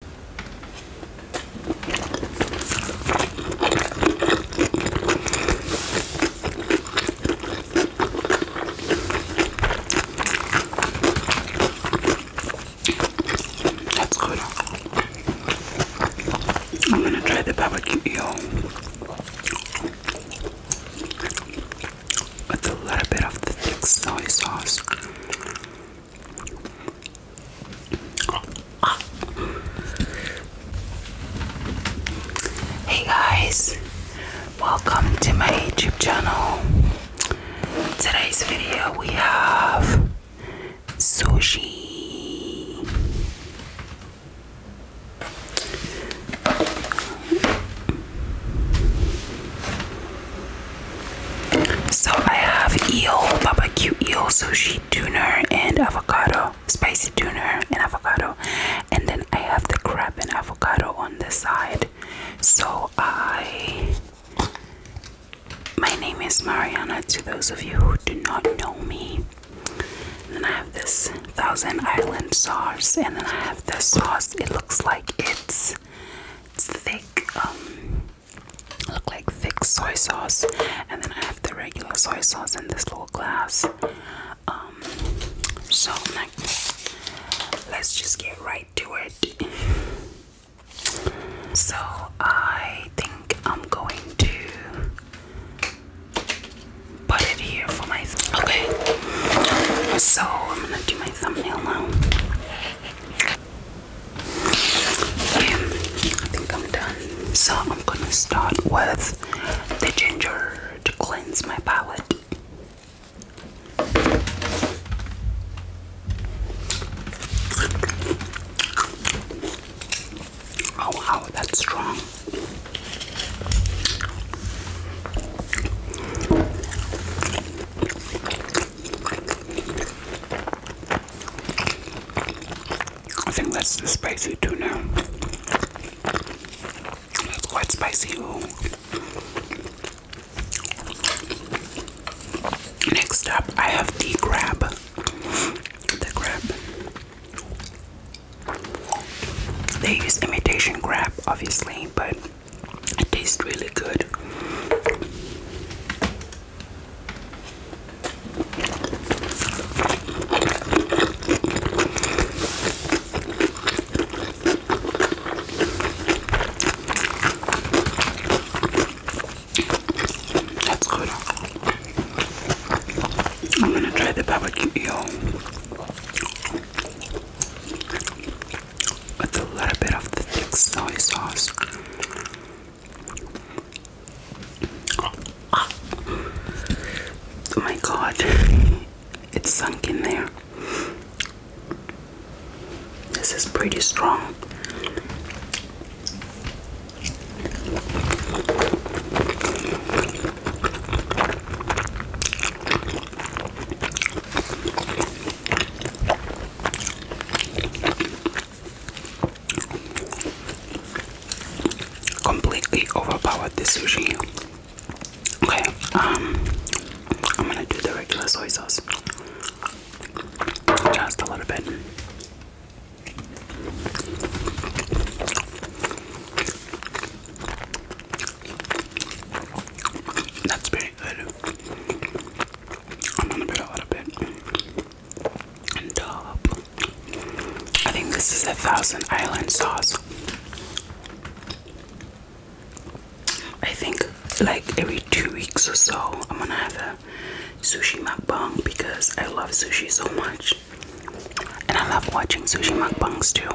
That's good. I'm gonna try the barbecue eel. With a little bit of the thick soy sauce. Hey guys, welcome to my YouTube channel. Today's video we have sushi. So I have eel, barbecue eel, sushi, tuna, and avocado, spicy tuna and avocado, and then I have the crab and avocado on the side. So I, my name is Mariana. To those of you who do not know me, then I have this Thousand Island sauce, and then I have this sauce. It looks like it's, thick. Um, look like thick soy sauce, and then I have the regular soy sauce in this little glass. Um, so let's just get right to it. So I think I'm going to put it here for my okay. So I'm gonna do my thumbnail now. So I'm gonna start with the ginger to cleanse my palate. Oh wow, that's strong. I think that's the spicy tuna. That's quite spicy. Next up, I have the crab. The crab. They use imitation crab, obviously, but it tastes really good. That's good. I'm gonna try the barbecue eel with a little bit of the thick soy sauce. Oh my god, it's sunk in there. This is pretty strong. Completely overpowered the sushi. Okay, um, I'm gonna do the regular soy sauce. Just a little bit. That's very I'm gonna put a little bit uh, I think this is a Thousand Island sauce. I think like every two weeks or so, I'm gonna have a sushi mukbang because I love sushi so much, and I love watching sushi mukbangs too.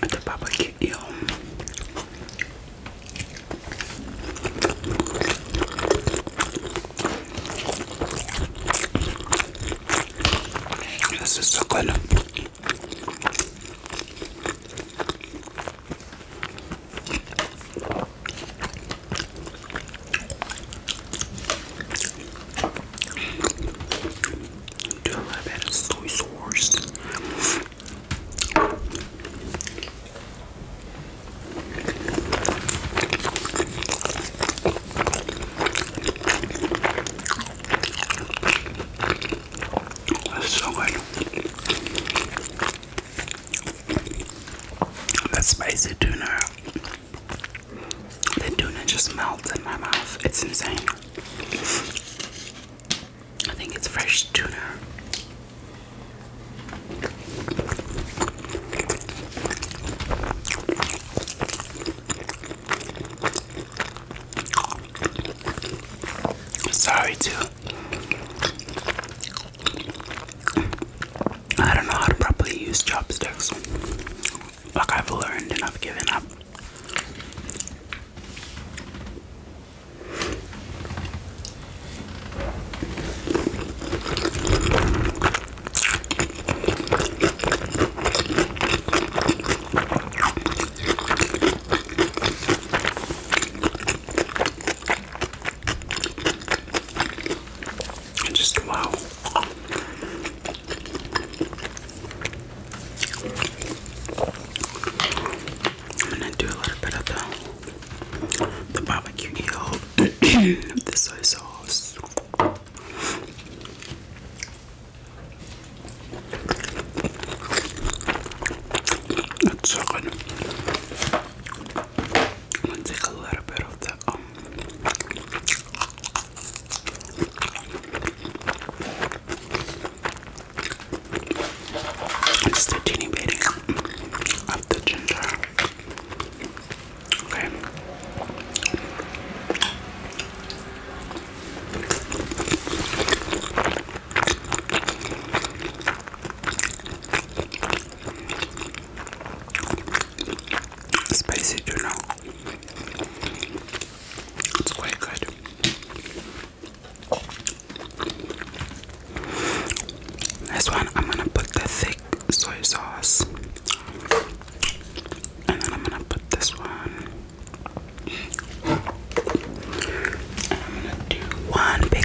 the barbecue. This is so good. Do a little bit soy sauce. That's so good. That's spicy tuna. The tuna just melts in my mouth. It's insane. I think it's fresh tuna. Sorry to I don't know how to properly use chopsticks. Like I've learned and I've given up. And just wow. I'm gonna do a little bit of the, the barbecue eel, the soy sauce. It's so good. I'm take a little bit of the um, it's the teeny bitty of the ginger. Okay spicy tuna. It's quite good. This one, I'm gonna put the thick soy sauce, and then I'm gonna put this one. And I'm gonna do one big.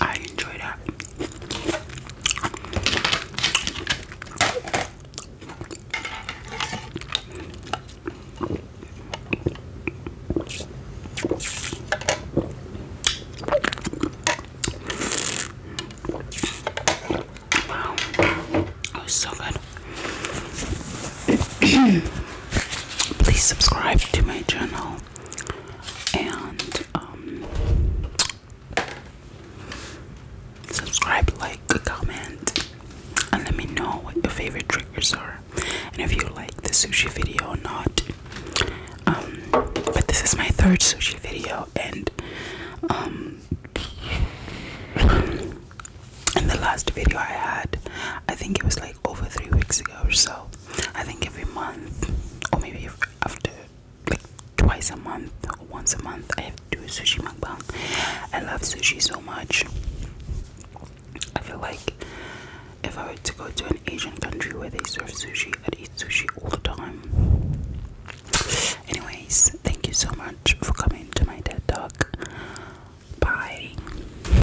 I enjoy that. Wow, that was so good. Please subscribe to my channel and um, subscribe like comment and let me know what your favorite triggers are and if you like the sushi video or not um, but this is my third sushi video and um, in the last video I had I think it was like over three weeks ago so I think every month, or maybe after like twice a month once a month, I have to do a sushi mukbang. I love sushi so much. I feel like if I were to go to an Asian country where they serve sushi, I'd eat sushi all the time. Anyways, thank you so much for coming to my TED Talk. Bye.